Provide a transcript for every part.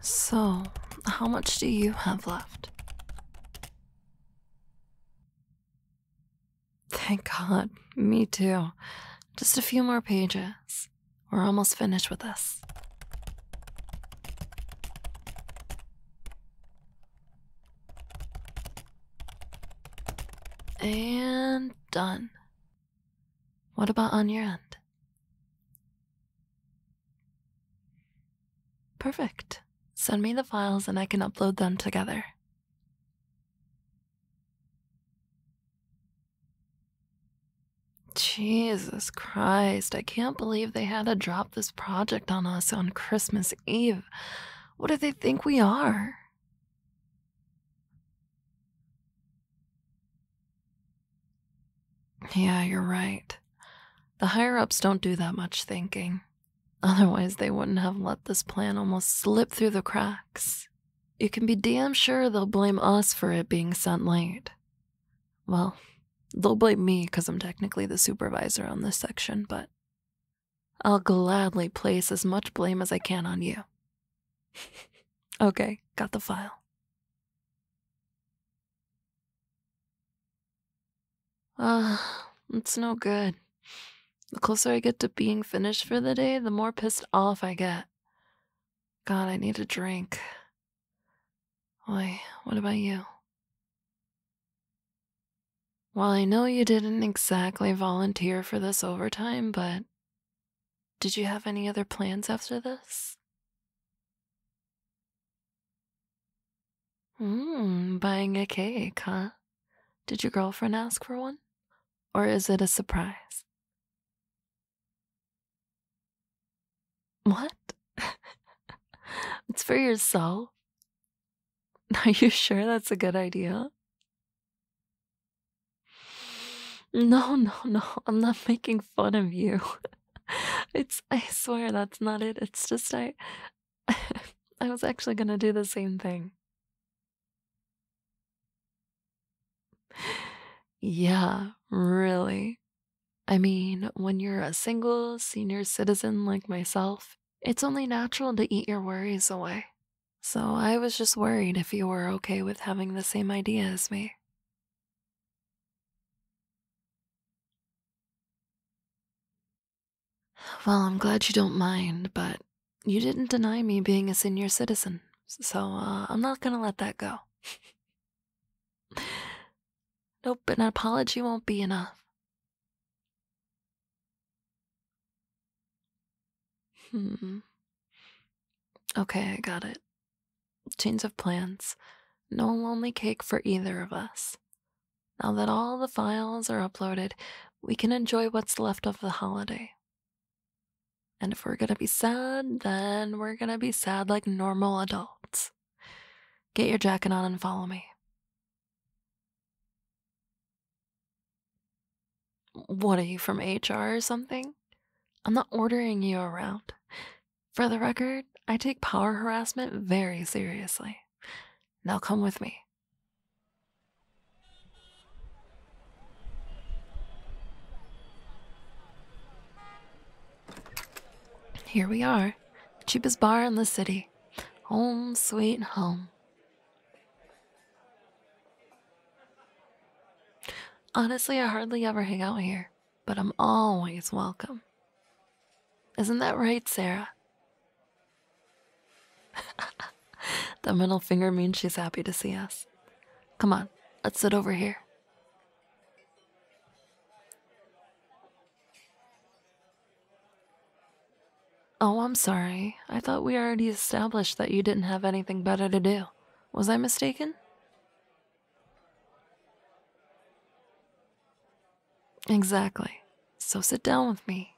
So, how much do you have left? Thank God, me too. Just a few more pages. We're almost finished with this. And done. What about on your end? Perfect. Send me the files and I can upload them together. Jesus Christ, I can't believe they had to drop this project on us on Christmas Eve. What do they think we are? Yeah, you're right. The higher ups don't do that much thinking. Otherwise, they wouldn't have let this plan almost slip through the cracks. You can be damn sure they'll blame us for it being sent late. Well, they'll blame me because I'm technically the supervisor on this section, but I'll gladly place as much blame as I can on you. okay, got the file. Ah, uh, it's no good. The closer I get to being finished for the day, the more pissed off I get. God, I need a drink. Why, what about you? Well, I know you didn't exactly volunteer for this overtime, but did you have any other plans after this? Mmm, buying a cake, huh? Did your girlfriend ask for one? Or is it a surprise? What? it's for yourself? Are you sure that's a good idea? No, no, no. I'm not making fun of you. it's I swear that's not it. It's just I I was actually going to do the same thing. Yeah, really. I mean, when you're a single senior citizen like myself, it's only natural to eat your worries away. So I was just worried if you were okay with having the same idea as me. Well, I'm glad you don't mind, but you didn't deny me being a senior citizen, so uh, I'm not gonna let that go. Nope, an apology won't be enough. Hmm. Okay, I got it. Change of plans. No lonely cake for either of us. Now that all the files are uploaded, we can enjoy what's left of the holiday. And if we're gonna be sad, then we're gonna be sad like normal adults. Get your jacket on and follow me. What are you from HR or something? I'm not ordering you around. For the record, I take power harassment very seriously. Now come with me. Here we are, cheapest bar in the city. Home sweet home. Honestly, I hardly ever hang out here, but I'm always welcome. Isn't that right, Sarah? the middle finger means she's happy to see us. Come on, let's sit over here. Oh, I'm sorry. I thought we already established that you didn't have anything better to do. Was I mistaken? Exactly. So sit down with me.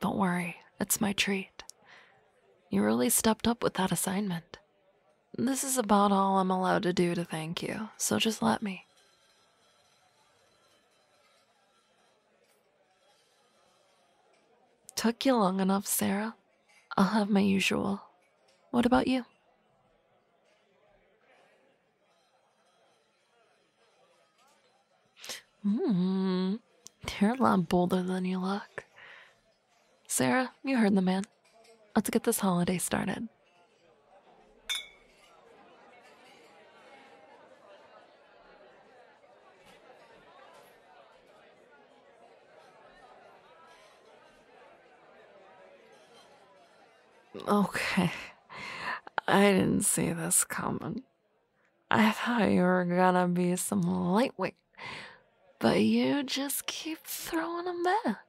Don't worry, it's my treat. You really stepped up with that assignment. This is about all I'm allowed to do to thank you, so just let me. Took you long enough, Sarah. I'll have my usual. What about you? Hmm, you're a lot bolder than you look. Sarah, you heard the man. Let's get this holiday started. Okay. I didn't see this coming. I thought you were gonna be some lightweight but you just keep throwing them back.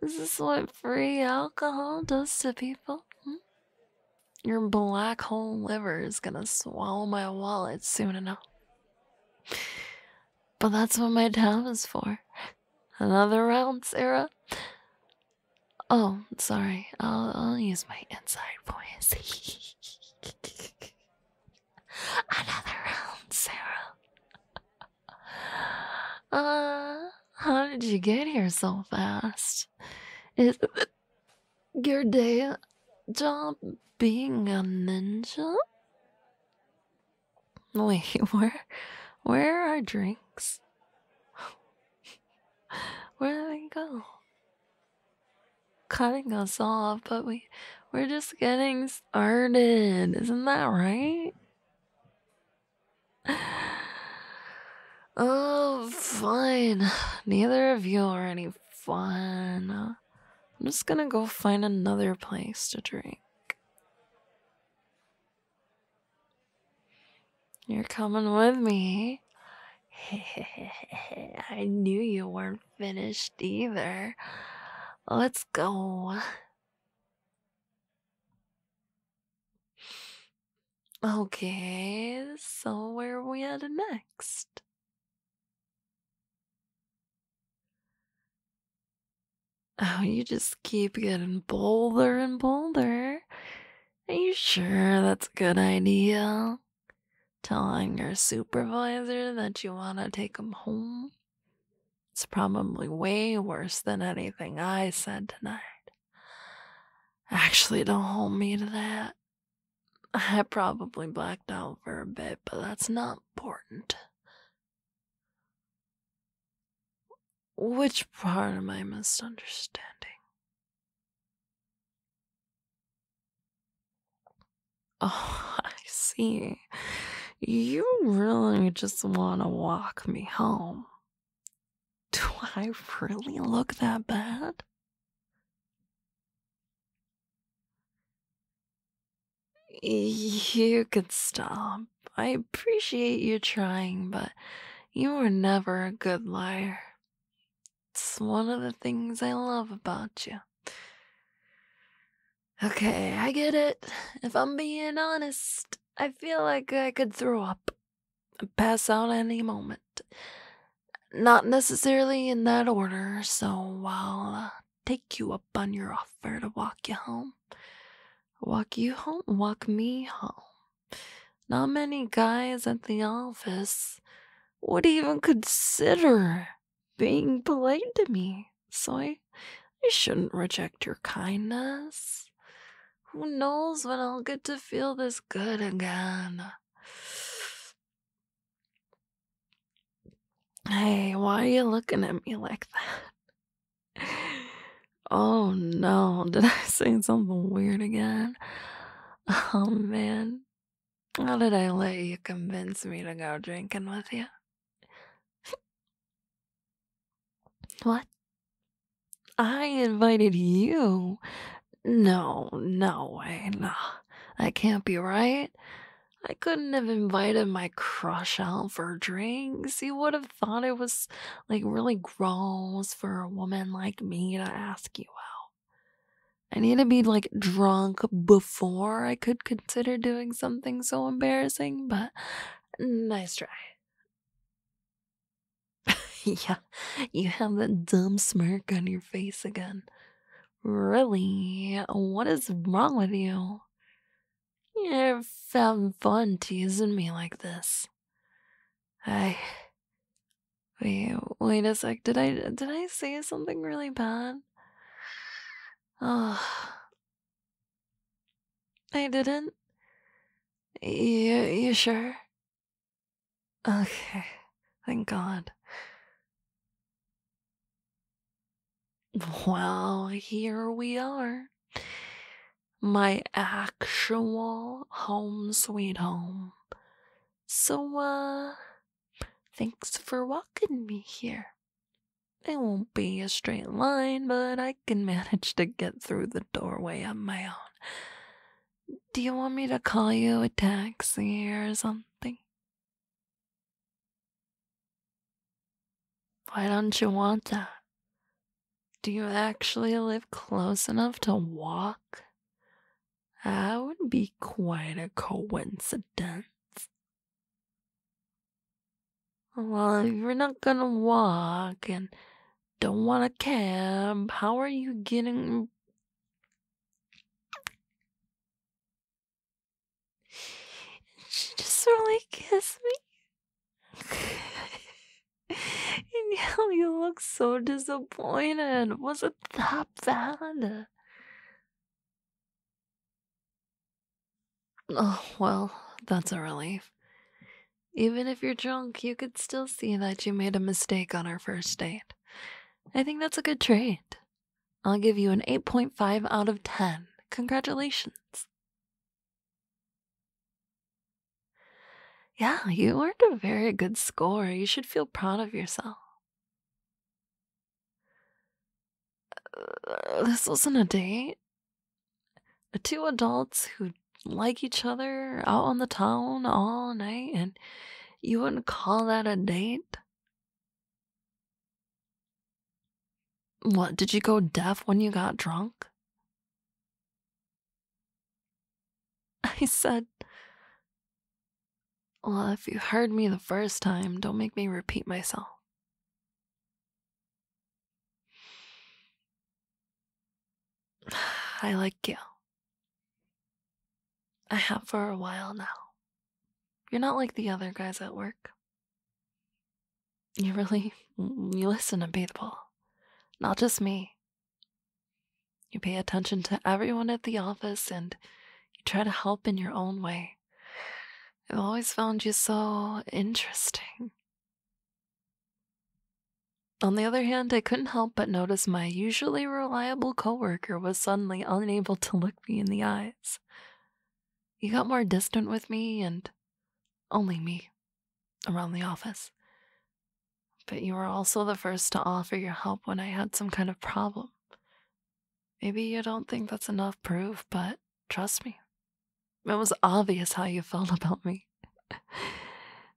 This Is what free alcohol does to people? Hmm? Your black hole liver is gonna swallow my wallet soon enough. But that's what my tab is for. Another round, Sarah. Oh, sorry. I'll, I'll use my inside voice. Another round, Sarah. uh, how did you get here so fast? Is your day job being a ninja? Wait, where, where are drinks? Where do they go? cutting us off, but we we're just getting started. Isn't that right? Oh, fine. Neither of you are any fun. I'm just gonna go find another place to drink. You're coming with me. I knew you weren't finished either. Let's go. Okay, so where are we headed next? Oh, you just keep getting bolder and bolder. Are you sure that's a good idea? telling your supervisor that you want to take him home. It's probably way worse than anything I said tonight. Actually, don't hold me to that. I probably blacked out for a bit, but that's not important. Which part am I misunderstanding? Oh, I see. You really just want to walk me home. Do I really look that bad? You could stop. I appreciate you trying, but you were never a good liar. It's one of the things I love about you. Okay, I get it. If I'm being honest, I feel like I could throw up and pass out any moment. Not necessarily in that order, so I'll uh, take you up on your offer to walk you home. Walk you home, walk me home. Not many guys at the office would even consider being polite to me. So I, I shouldn't reject your kindness. Who knows when I'll get to feel this good again? Hey, why are you looking at me like that? Oh no, did I say something weird again? Oh man, how did I let you convince me to go drinking with you? what? I invited you? No, no way, no. That can't be right. I couldn't have invited my crush out for drinks. You would have thought it was like really gross for a woman like me to ask you out. I need to be like drunk before I could consider doing something so embarrassing, but nice try. yeah, you have that dumb smirk on your face again. Really? What is wrong with you? you have having fun teasing me like this. I. Wait, wait a sec. Did I did I say something really bad? Oh, I didn't. You you sure? Okay, thank God. Well, here we are. My actual home sweet home. So, uh, thanks for walking me here. It won't be a straight line, but I can manage to get through the doorway on my own. Do you want me to call you a taxi or something? Why don't you want that? Do you actually live close enough to walk? That would be quite a coincidence. Well, if you're not gonna walk and don't want a cab, how are you getting. She just really kissed me. And you look so disappointed. Was it that bad? Oh, well, that's a relief. Even if you're drunk, you could still see that you made a mistake on our first date. I think that's a good trait. I'll give you an 8.5 out of 10. Congratulations. Yeah, you earned a very good score. You should feel proud of yourself. Uh, this wasn't a date. Two adults who like each other out on the town all night, and you wouldn't call that a date? What, did you go deaf when you got drunk? I said, Well, if you heard me the first time, don't make me repeat myself. I like you. I have for a while now. You're not like the other guys at work. You really you listen to people. Not just me. You pay attention to everyone at the office and you try to help in your own way. I've always found you so interesting. On the other hand, I couldn't help but notice my usually reliable coworker was suddenly unable to look me in the eyes. He got more distant with me and only me around the office, but you were also the first to offer your help when I had some kind of problem. Maybe you don't think that's enough proof, but trust me, it was obvious how you felt about me.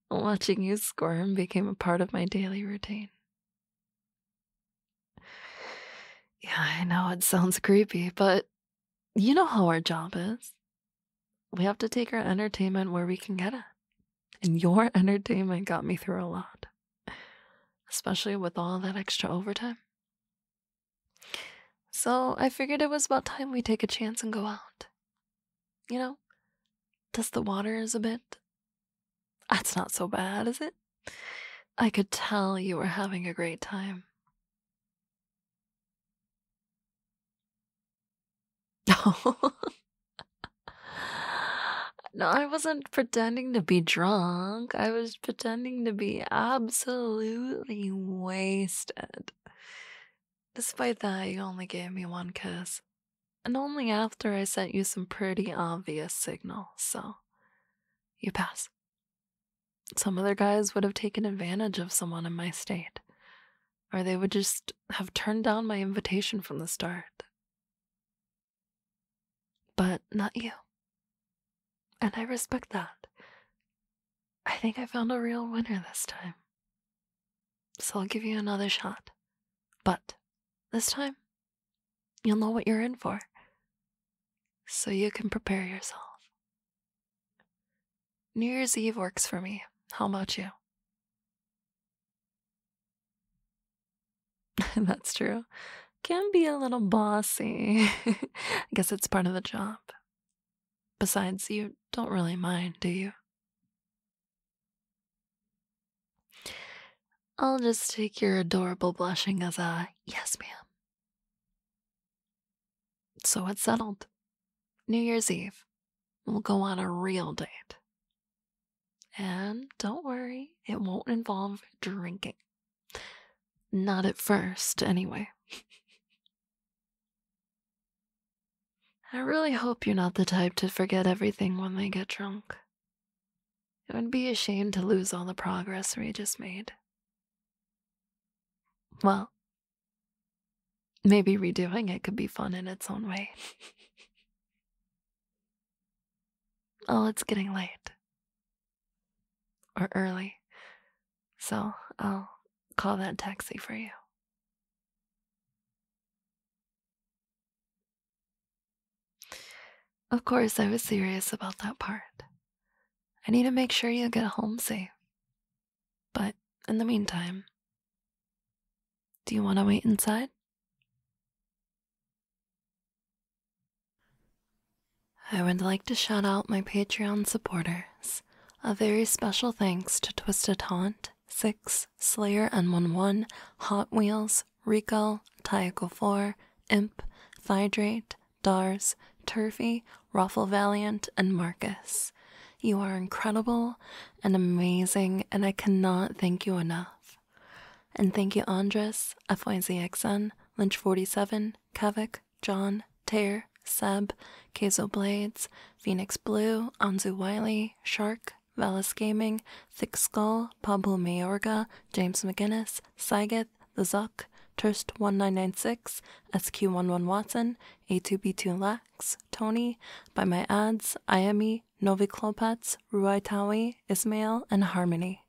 Watching you squirm became a part of my daily routine. Yeah, I know it sounds creepy, but you know how our job is we have to take our entertainment where we can get it. And your entertainment got me through a lot, especially with all that extra overtime. So I figured it was about time we take a chance and go out. You know, does the water waters a bit. That's not so bad, is it? I could tell you were having a great time. no, I wasn't pretending to be drunk. I was pretending to be absolutely wasted. Despite that, you only gave me one kiss. And only after I sent you some pretty obvious signals, so you pass. Some other guys would have taken advantage of someone in my state, or they would just have turned down my invitation from the start. But not you. And I respect that. I think I found a real winner this time. So I'll give you another shot. But this time, you'll know what you're in for. So you can prepare yourself. New Year's Eve works for me. How about you? That's true. Can be a little bossy. I guess it's part of the job. Besides, you don't really mind, do you? I'll just take your adorable blushing as a yes, ma'am so it's settled. New Year's Eve. We'll go on a real date. And don't worry, it won't involve drinking. Not at first, anyway. I really hope you're not the type to forget everything when they get drunk. It would be a shame to lose all the progress we just made. Well, Maybe redoing it could be fun in its own way. oh, it's getting late. Or early. So I'll call that taxi for you. Of course, I was serious about that part. I need to make sure you get home safe. But in the meantime, do you want to wait inside? I would like to shout out my Patreon supporters. A very special thanks to Twisted Haunt, Six, Slayer N11, Hot Wheels, Rico, Tycho 4, Imp, Phydrate, Dars, Turvey, Raffle Valiant, and Marcus. You are incredible and amazing, and I cannot thank you enough. And thank you, Andres, FYZXN, Lynch47, Kavik, John, Tear, Seb, Kazo Blades, Phoenix Blue, Anzu Wiley, Shark, Valis Gaming, Thick Skull, Pablo Mayorga, James McGinnis, Saigath, Smith, The Zuck, Turst1996, SQ11 Watson, A2B2 Lax, Tony, By My Ads, IME, Novi Ruaitawi Ismail, and Harmony.